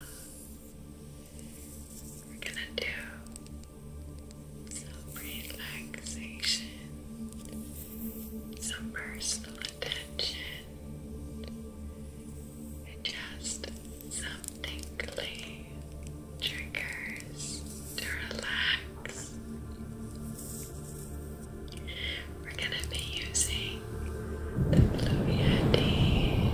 We're gonna do some relaxation, some personal attention, and just some tingly triggers to relax. We're gonna be using the Blue Yeti.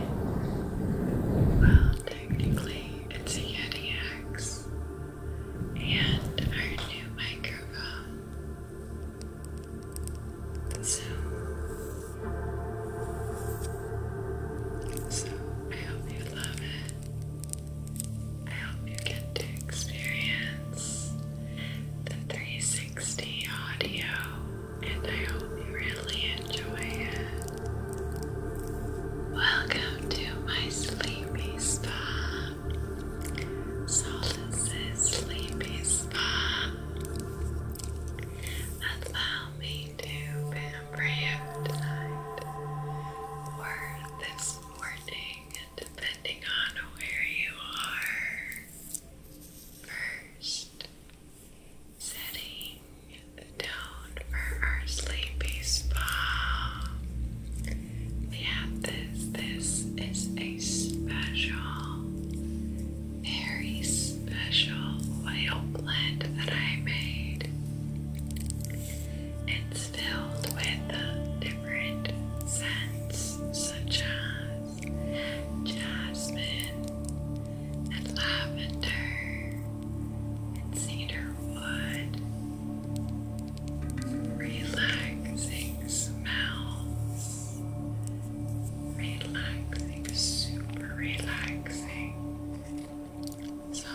Well, technically, it's a Yeti X and our new microphone. So, so I hope you love it. I hope you get to experience the 360 audio and I hope you really enjoy it. Welcome to my sleepy spa. Solace's sleepy spa. Allow me to pamper you tonight or this morning, depending on where you are. First, setting the tone for our sleepy spa. We this. This is a special, very special oil blend that I made. It's filled with different scents such as jasmine and lavender and cedar wood. Relaxing smells. Relaxing, super relaxing. So,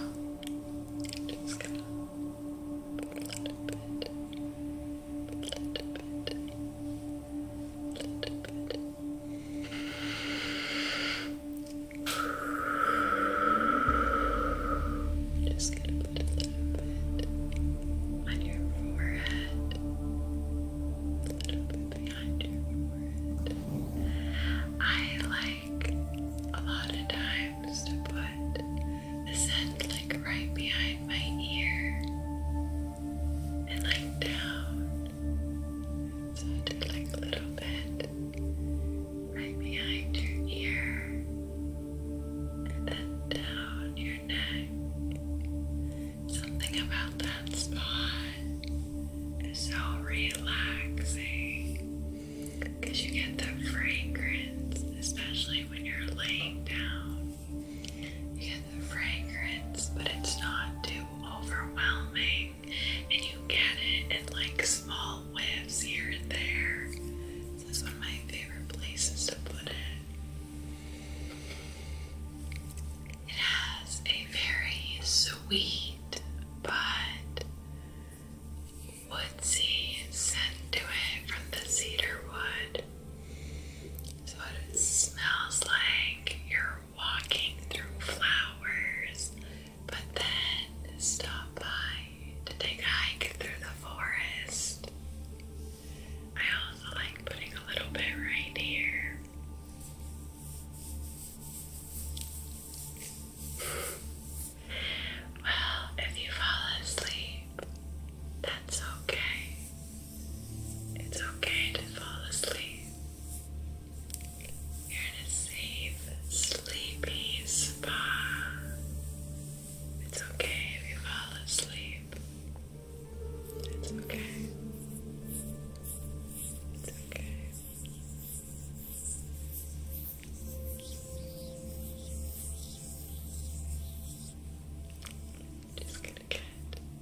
just going a little bit, a little bit. Just put a little bit on your forehead, a little bit behind your forehead. I like a lot of times to put the scent like right behind my ear and like down so just like a little bit right behind your ear and then down your neck. Something about that spot is so relaxing because you get the fragrance, especially when you're laying down. You get the fragrance, but it's not too overwhelming and you get it in like small whiffs here and there. This one of my favorite places to put it. It has a very sweet but woodsy scent to it from the cedar wood. So it smells like your walking through flowers, but then stop by to take a hike through the forest. I also like putting a little bit right here. Well, if you fall asleep, that's okay. It's okay to fall asleep. You're in a safe, sleepy spa. It's okay if you fall asleep. It's okay. It's okay. Just gonna get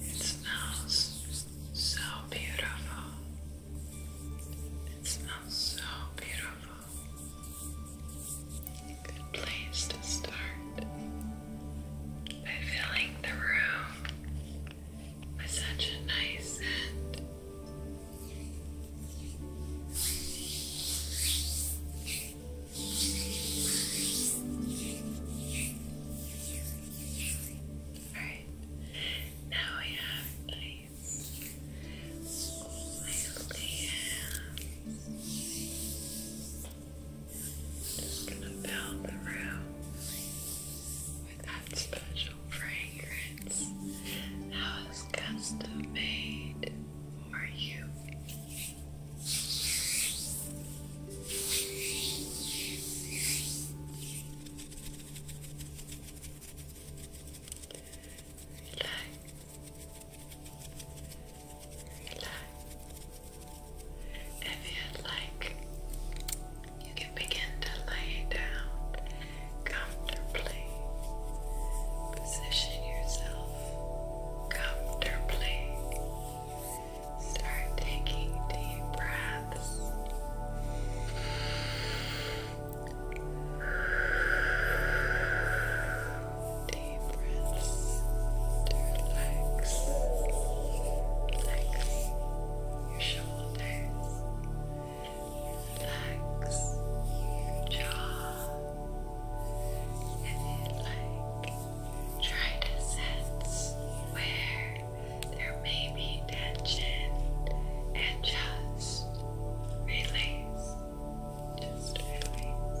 It smells so beautiful. It smells so beautiful. good place to start by filling the room with such a nice scent. Alright, now we have place slightly Just gonna build the room with that special fragrance that was custom made for you. If you like, you can begin to lay down comfortably. Position yourself comfortably Start taking deep breaths. Deep breaths relax. Relax your shoulders. Relax your jaw. If you Try to sense where there may be tension and just release. Just release.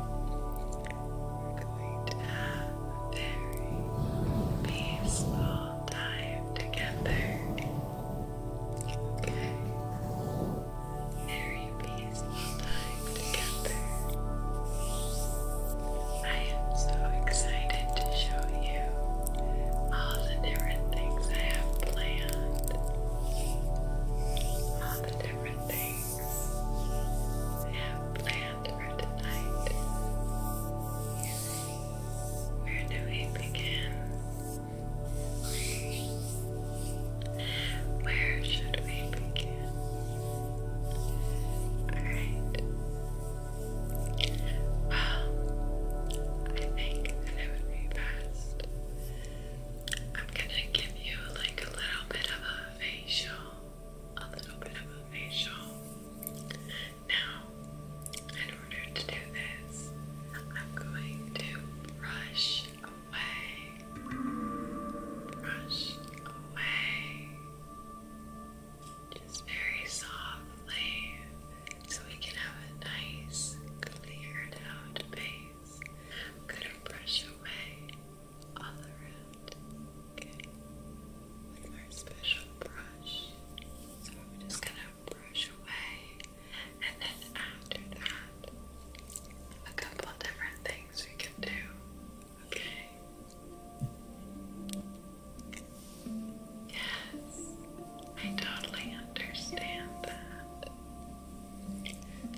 We're going to have a very peaceful time together. Okay? Very peaceful time together. I am so excited to show you all the different things I have planned. All the different things I have planned for tonight. Where do we begin? Where should we begin? Alright. Well, I think that it would be best. I'm gonna give you like a little little bit of a facial. A little bit of a facial. Now, in order to do this, I'm going to brush away. Brush away. Just very softly so we can have a nice, cleared out base. gonna brush away all around, okay? With our special brush. So I'm just gonna brush away, and then after that, a couple different things we can do, okay? Yes, I totally understand that.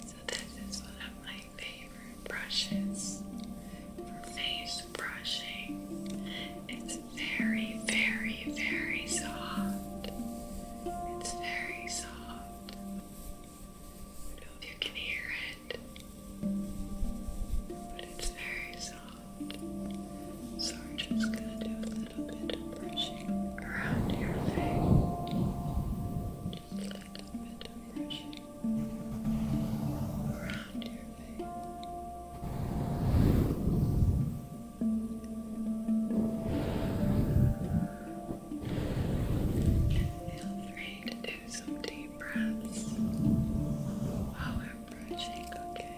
So, this is one of my favorite brushes for face brushing. It's very, very, very soft. It's very soft. I don't know if you can hear it, but it's very soft. So we're just gonna do a little bit of brushing around your face. Just a little bit of brushing around your face. feel free to do some deep breaths while we're brushing, okay?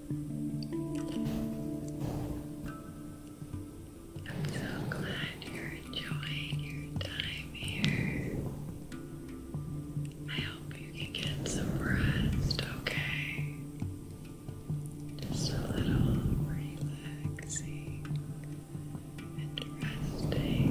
I'm so glad you're enjoying your time here. I hope you can get some rest, okay? Just a little relaxing and resting.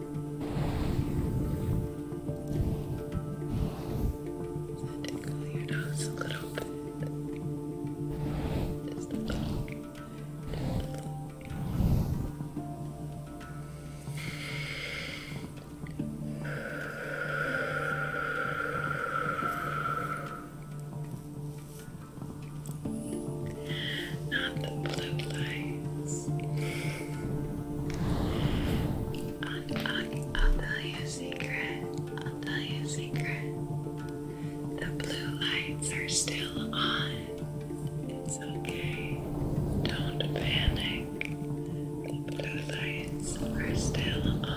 Does that tickle your nose a little bit? Just a little, just a little. Good not the blue lights. I, will tell you a secret. I'll tell you a secret. The blue lights are still on. It's okay. Don't panic. The blue lights are still on.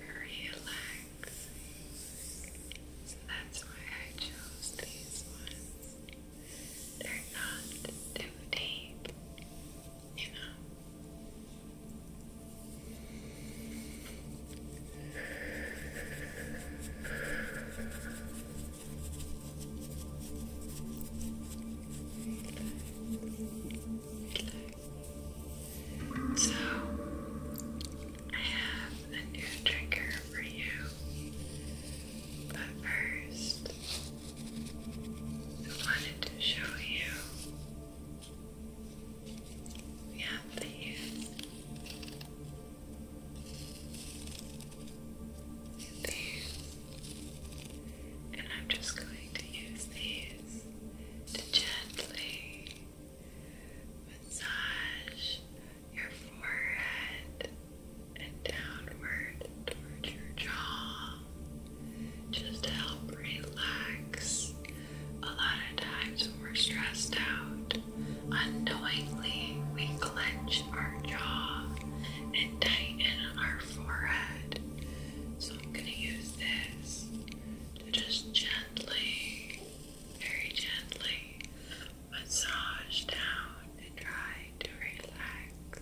relaxing. that's why I chose these ones. They're not too deep, you know. So, I have a new trigger for you. But first, I wanted to show you. We have these. These. And I'm just going to use these to gently massage your forehead and downward towards your jaw just to help relax. A lot of times when we're stressed out, unknowingly we clench our jaw and tighten our forehead. So I'm going to use this just gently, very gently massage down and try to relax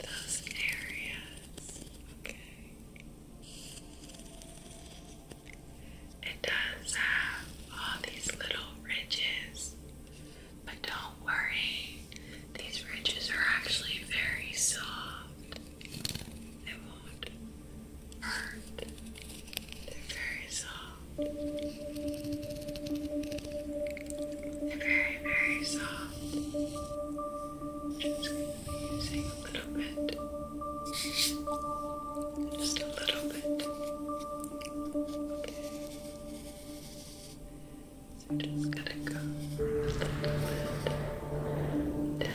those areas, okay? It does have all these little ridges, but don't worry, these ridges are actually very soft. It won't hurt. They're very soft. They're very, very soft. Just going to be using a little bit. Just a little bit. Okay. So just gonna go down, down, step down.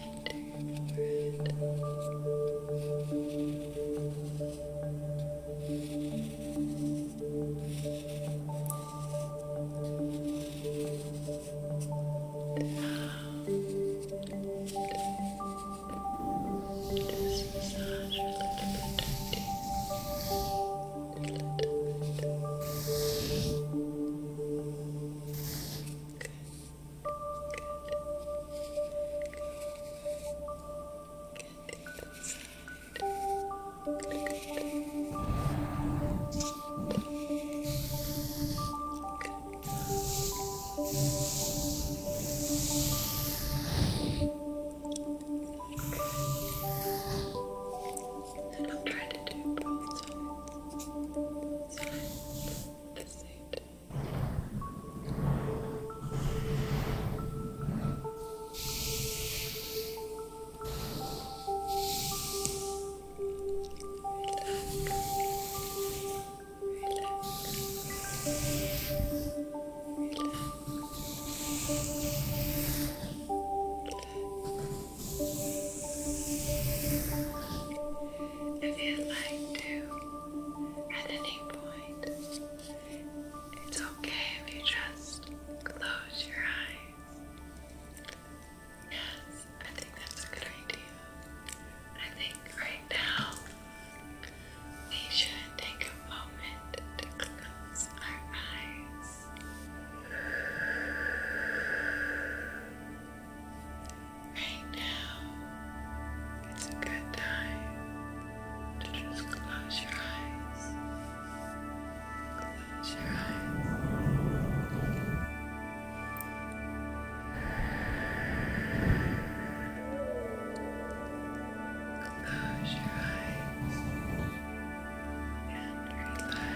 gingerbread. Just massage a little bit dirty. A little bit. Good. And I'll try to do both it. Relax. Relax. Relax if you'd like to at any point. It's okay if you just close your eyes. Yes, I think that's a good idea. I think right now we should take a moment to close our eyes. Right now, it's a good time to just close your eyes. Close your eyes. Close your eyes and relax.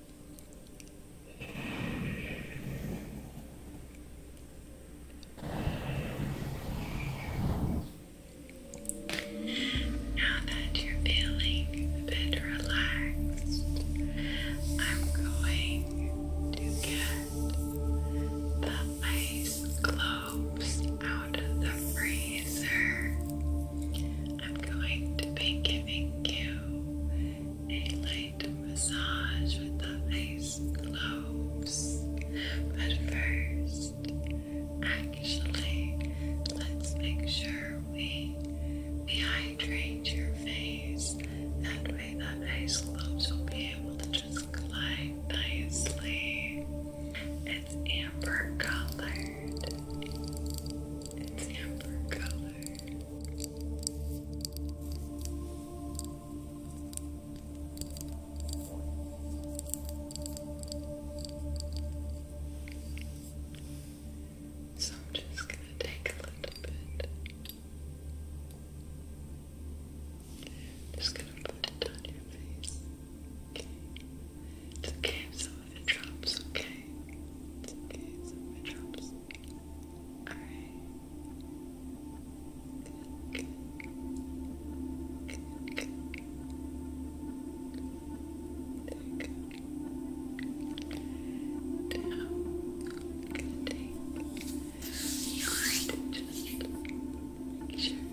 Now that you're feeling a bit relaxed, I'm going to get the ice globes out of the freezer. I'm going to be giving you a light massage with the ice gloves. But first, actually, let's make sure we dehydrate your face. That way, the ice globes will be able to just glide nicely. It's amber colored. It's amber color. So I'm just going to take a little bit. Just going to put it on your face. Okay. It's okay some of it drops, okay? okay some of it drops. Alright. Good, good. Good, just make sure that you.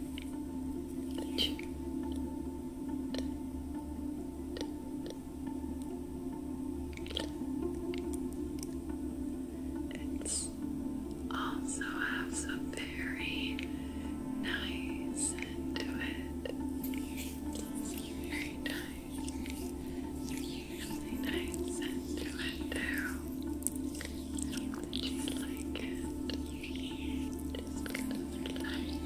It's also has a very nice scent to it. Very nice. Really nice scent to it too. I you like it. Just gonna relax.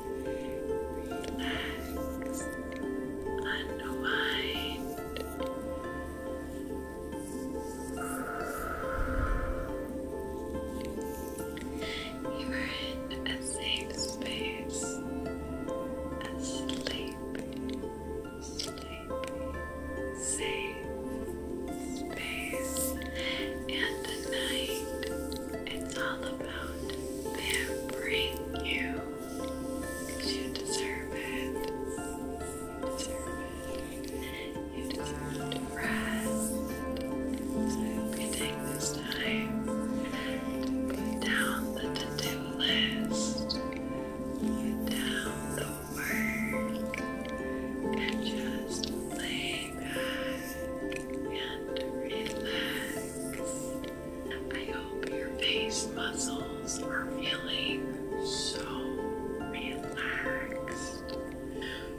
relax, unwind. You are in a safe space, a sleepy, safe space, and tonight it's all about about pampering you you deserve it. You deserve to rest. So I hope you take this time to put down the to-do list, put down the work, and just lay back and relax. I hope your face muscles are feeling so relaxed.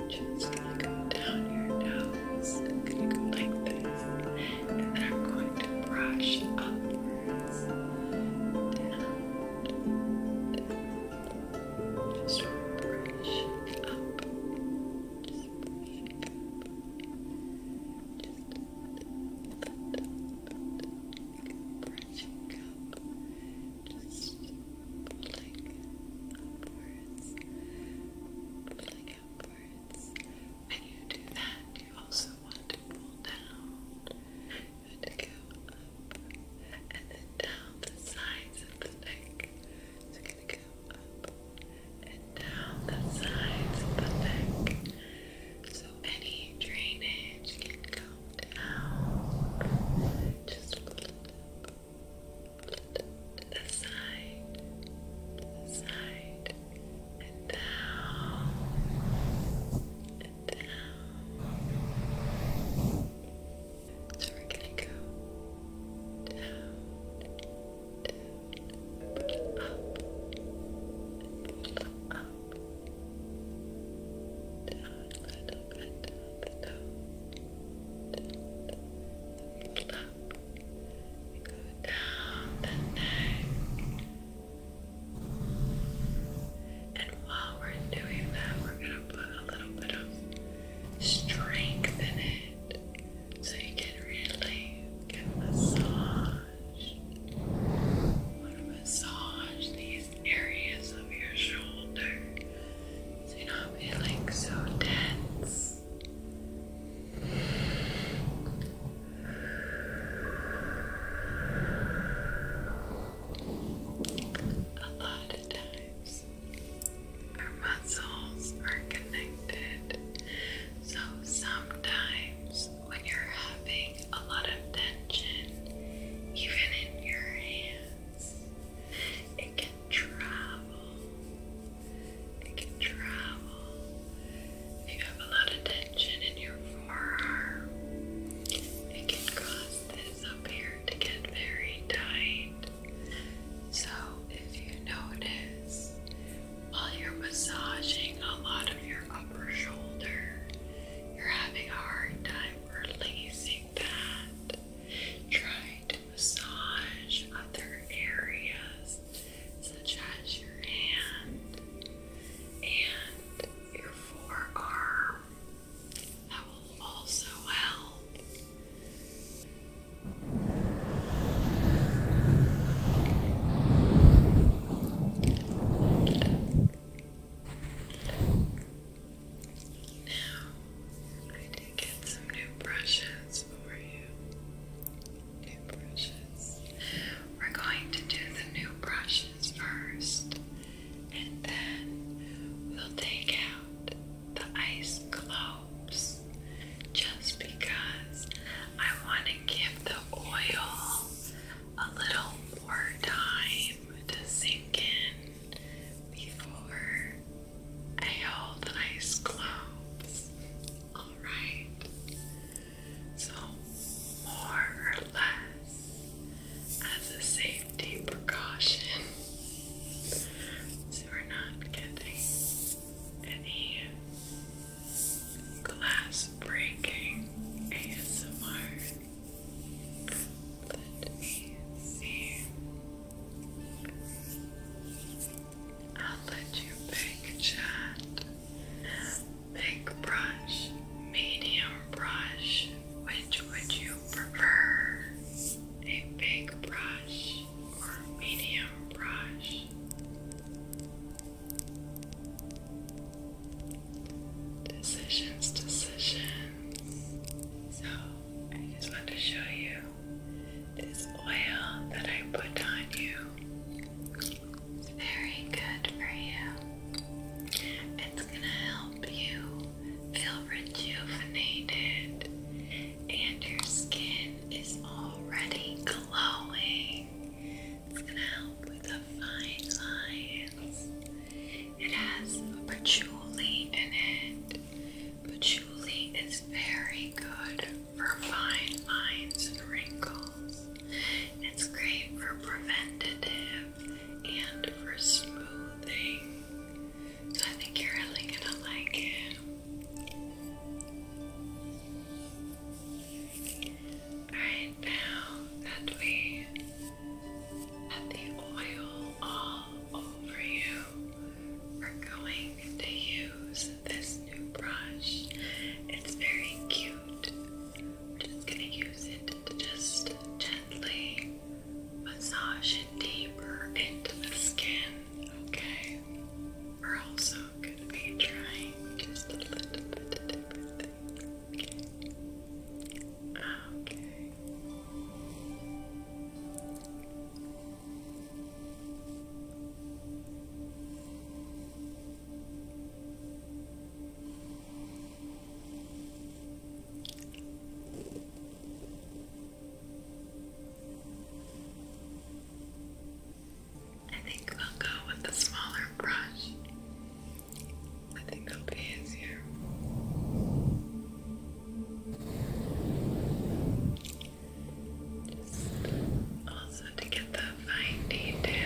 Just go down your nose. going to go like this. And then I'm going to brush upwards. Down. Just brush up. Just brush up. Just brushing up, just pulling upwards, pulling upwards. When you do that, you also want to pull down and go up and then down the sides of the neck. So, going to go up and down the sides of the neck so any drainage can come down just to the side, to the side, and down, and down. So we're gonna go down, down, up, down, little bit down the toe, down, up. go down And while we're doing that, we're going to put a little bit of strength in it so you can really get massage massage these areas of your shoulder so you're not feeling so tense. A lot of times our muscles are connected so sometimes when you're having a lot of tension, even in your hands, it can travel. It can travel. If you have a lot of tension in your forearm, it can cause this up here to get very tight. So if you notice while you're massaging a lot of your upper shoulder, you're having a hard time releasing that. Try to massage other areas such as your hand and your forearm. That will also help. Now, I did get some new brushes for you. New brushes. We're going to do the new brushes first, and then we'll take out the ice globes just because I want to give the oil a little more time to sink in before I hold the eyes Alright, so more or less as a safety precaution, so we're not getting any glass breaking ASMR. Let me see. I'll let you pick chat. Big brush, medium brush. Which would you prefer? A big brush or medium brush? Decisions, decisions. So, I just want to show you this oil that I put on you. It's very good for you. It's going to help you feel rejuvenated, and your skin is already glowing. It's gonna help with the fine lines. It has patchouli in it. Patchouli is very good for fine lines and wrinkles. It's great for preventative and for smoothing. So I think you're really gonna like it. Alright, now that we have the oil all over you, we're going to use this new brush. It's very cute. We're just going to use it to just gently massage it deeper into the skin, okay? We're also I'm gonna be trying just a little bit of different Okay. I think they'll go with the smaller brush. I think that'll be easier. also to get the fine details.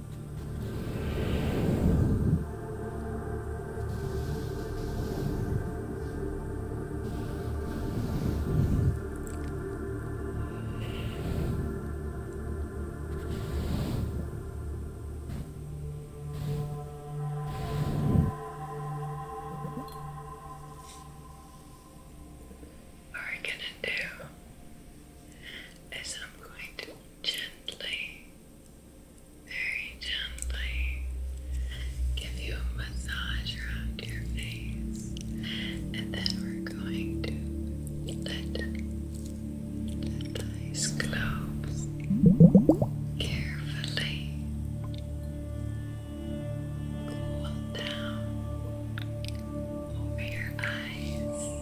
What we're gonna do is I'm going to gently very gently give you a massage around your face, and then we're going to let the eyes close carefully. Cool down over your eyes.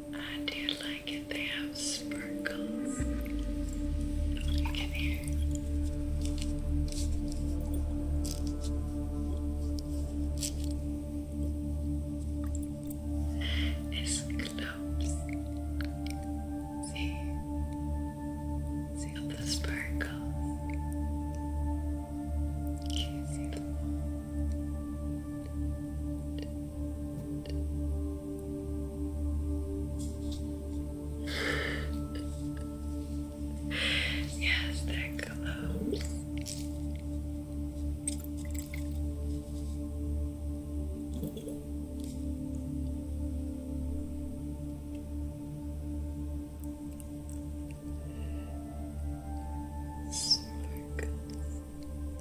I do like it. They have sparkles. You can hear. It's close. See? See the sparkles? Can see them yes, they're close. Sparkles.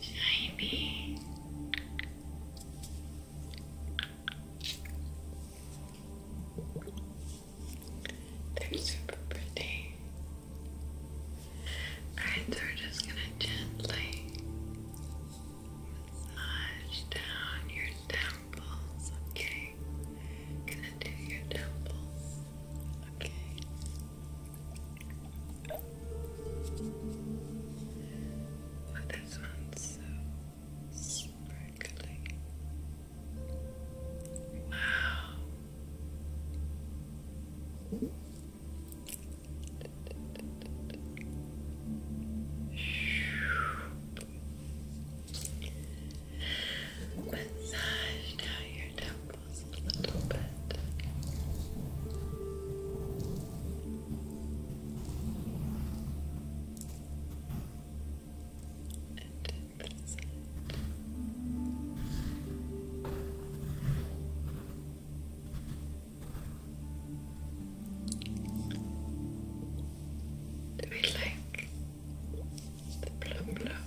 Shiny. They're super pretty. Alright, so we're just gonna gently massage down your stem temples, okay. Gonna do your temples, okay. Oh, this one's so sparkly. Wow. Massage down your temples a little bit. And that's it. Do we like the blub blub?